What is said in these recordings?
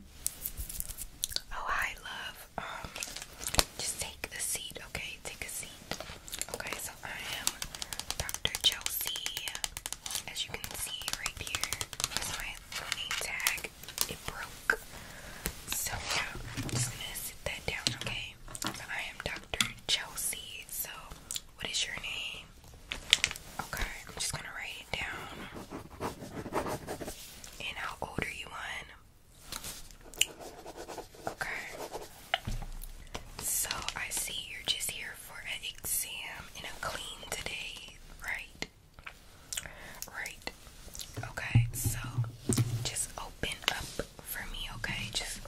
Oh hi love. Um, just take a seat, okay? Take a seat. Okay, so I am Dr. Chelsea. As you can see right here, my name tag. It broke. So yeah, I'm just gonna sit that down, okay? I am Dr. Chelsea. So what is your name? Okay, I'm just gonna write it down. And how old are you on? Okay. So I see you're just here for an exam and a clean today, right? Right. Okay, so just open up for me, okay? Just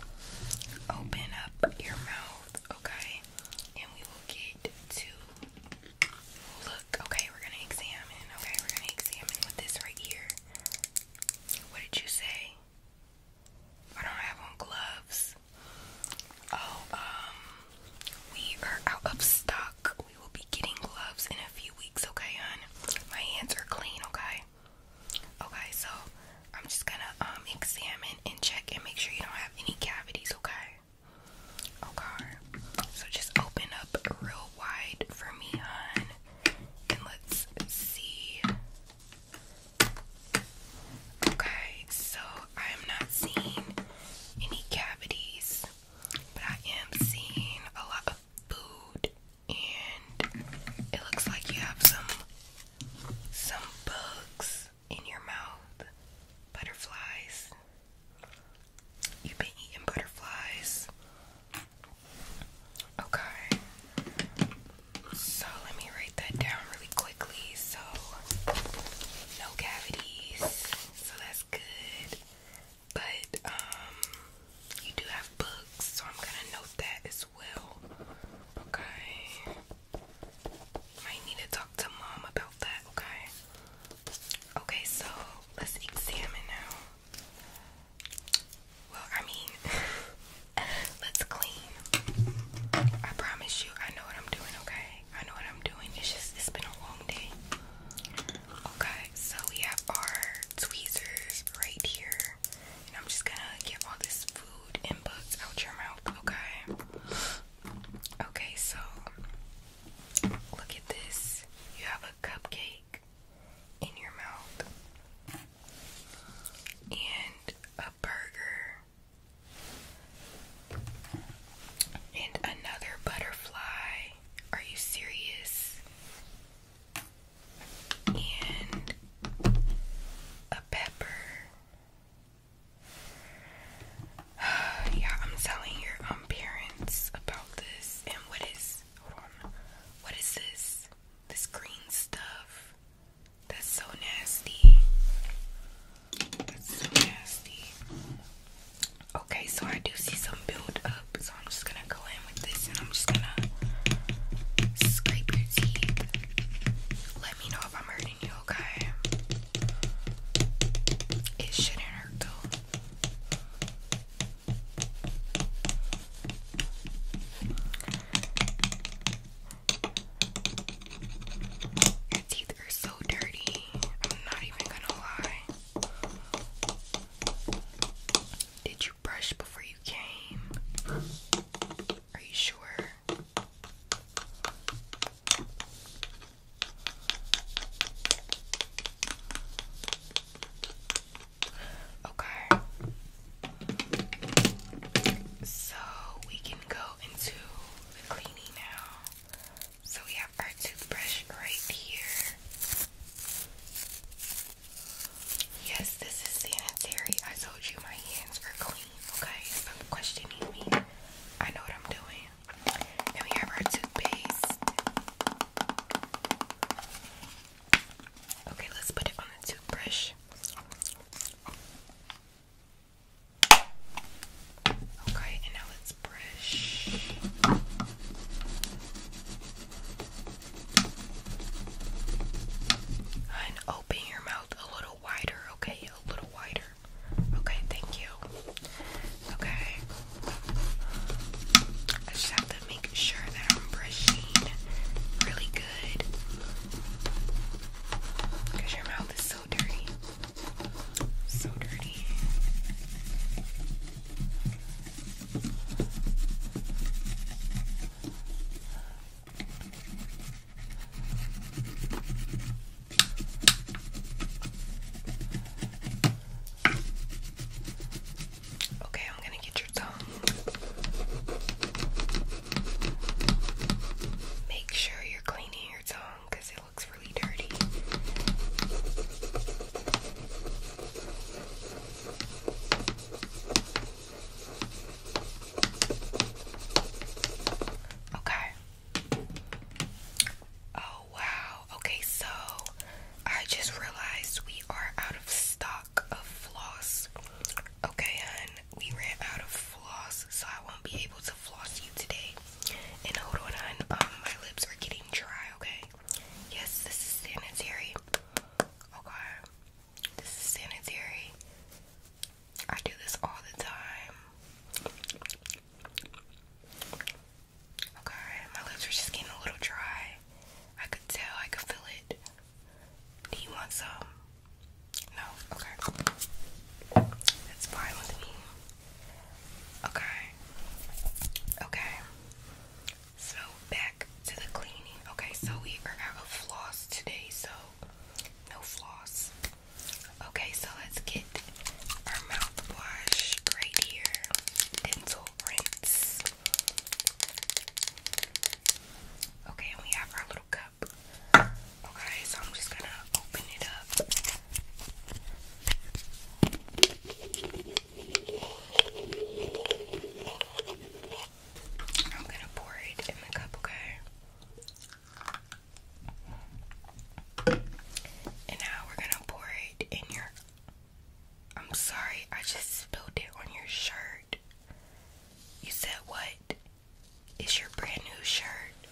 open up your mouth, okay? And we will get to Look, okay, we're gonna examine. Okay, we're gonna examine with this right here. What did you say? I don't have on gloves. Oh, um, we are out of stock. We will be getting gloves in a few weeks, okay, hon? My hands are clean, okay? Okay, so I'm just gonna um examine and check and make sure you don't have any cavities, okay? Okay. So just open up real wide for me, hon. And let's see. Okay, so I am not seeing any cavities, but I am seeing a lot of food, and it looks like you have some some bugs in your mouth. Butterflies. You've been eating butterflies. Okay. So let me write that down really quickly. So no cavities. So that's good. But um you do have books, so I'm gonna note that as well. Okay. Might need to talk to mom about that, okay? Okay, so let's examine now. Well, I mean, let's clean. I promise you, I know what I'm doing, okay? I know what I'm doing. It's just, it's been a long day. Okay, so we have our tweezers right here. And I'm just gonna get all this food food bugs out your mouth, okay? Okay, so look at this. You have a cupcake in your mouth and a burger and another butterfly. Are you serious? And a pepper. yeah, I'm telling your um, parents about this. And what is What is this? This green stuff. That's so nasty. That's so nasty. Okay, so I do see some build up, so I'm just gonna go in with this and I'm just gonna scrape your teeth let me know if I'm hurting you, okay? It shouldn't hurt though. Your teeth are so dirty. I'm not even gonna lie. Did you brush before you came? Are you sure? Okay. So we can go into the cleaning now. So we have our toothbrush right here. Yes, this is sanitary. I told you my hands are clean, okay? Stop questioning me. I know what I'm doing. And we have our toothpaste. Okay, let's put it on the toothbrush. Okay, and now let's brush. And open your mouth a little wider, okay? A little wider. Okay, thank you. Okay. I just have to make sure that I'm brushing really good. Because your mouth is so dirty. So dirty. Okay, I'm going to get your tongue. Make sure you're cleaning your tongue because it looks really dirty. Okay. Oh wow. Okay, so I just realized we are out of stock of floss. Okay, hun, we ran out of floss, so I won't be able to floss you today. And hold on, hun, um, my lips are getting dry. Okay. Yes, this is sanitary. Okay, this is sanitary. I do this all the time. Okay, my lips are just getting a little dry. I could tell, I could feel it. Do you want some? No? Okay. That's fine with me. Okay. Okay. So back to the cleaning. Okay, so we are out of floss today, so no floss. Okay, so let's get our mouthwash right here. Dental rinse. Okay, and we have our little cup. Okay, so I'm just gonna open it up. I'm gonna pour it in the cup, okay? And now we're gonna pour it in your. I'm sorry, I just spilled it on your shirt. You said what? It's your brand new shirt.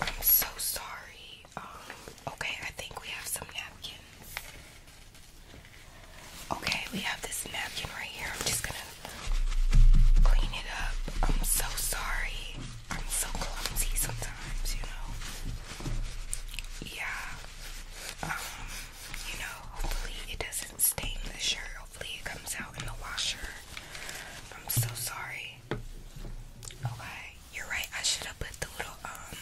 I'm so sorry. Oh, okay, I think we have some napkins. Okay, we have this napkin right here. I'm just gonna clean it up. I'm so sorry. I'm so clumsy sometimes, you know. Yeah. Um, you know, hopefully it doesn't stain the shirt. Hopefully it comes out in the washer. I'm so sorry. Okay. You're right, I should have put the little um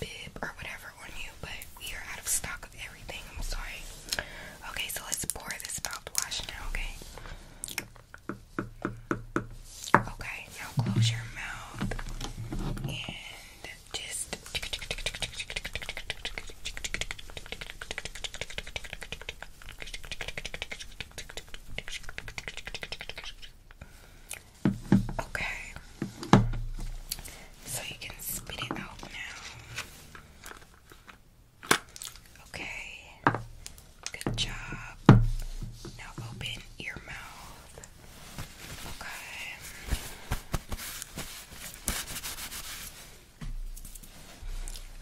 bib or whatever on you, but we are out of stock of everything. I'm sorry. Okay, so let's pour this mouthwash now, okay? Okay, now close your mouth and just Okay. So you can spit it out now. Okay. Good job. Now open your mouth. Okay.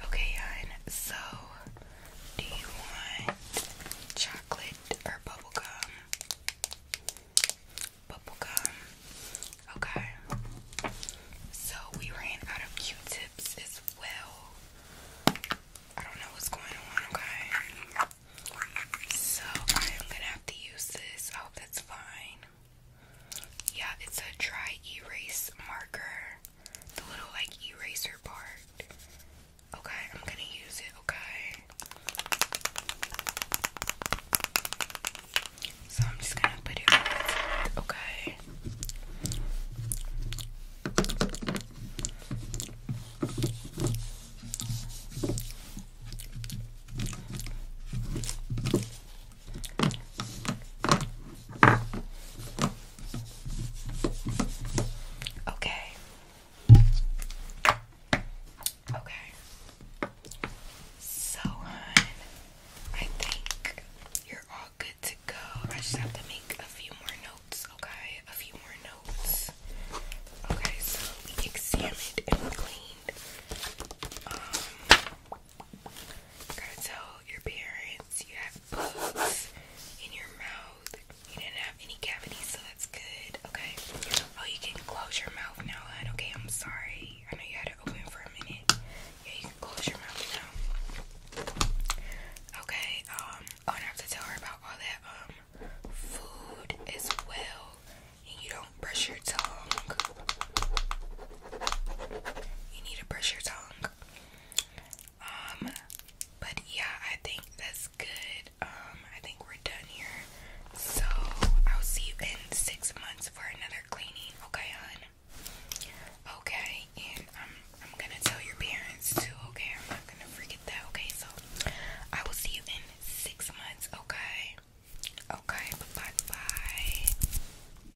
Okay, So do you want chocolate or Bubble gum. Okay. So we ran out of Q tips as well. I don't know what's going on, okay? So I am gonna have to use this. I that's fine. Yeah, it's a dry erase marker the little like eraser part. Okay, I'm gonna use it, okay? So I'm just gonna put it Okay. Okay. Okay. So, hon, I think you're all good to go. I just have to make a few more notes, okay? A few more notes. Okay, so we examined and cleaned. Um, gotta your parents you have bugs in your mouth, you didn't have any cavities, so that's good. Okay. Oh, you can close your mouth now, hun. Okay, I'm sorry. I know you had it open for a minute. Yeah, you can close your mouth now. Okay. Um. Oh, and I have to tell her about all that um food as well. And you don't brush your tongue. You need to brush your tongue. Um, but yeah, I think that's good. Um, I think we're done here. So I'll see you in six months for another cleaning, okay, hon? Okay, and I'm gonna tell your parents too, okay? I'm not gonna forget that, okay? So I will see you in six months, okay? Okay, bye bye.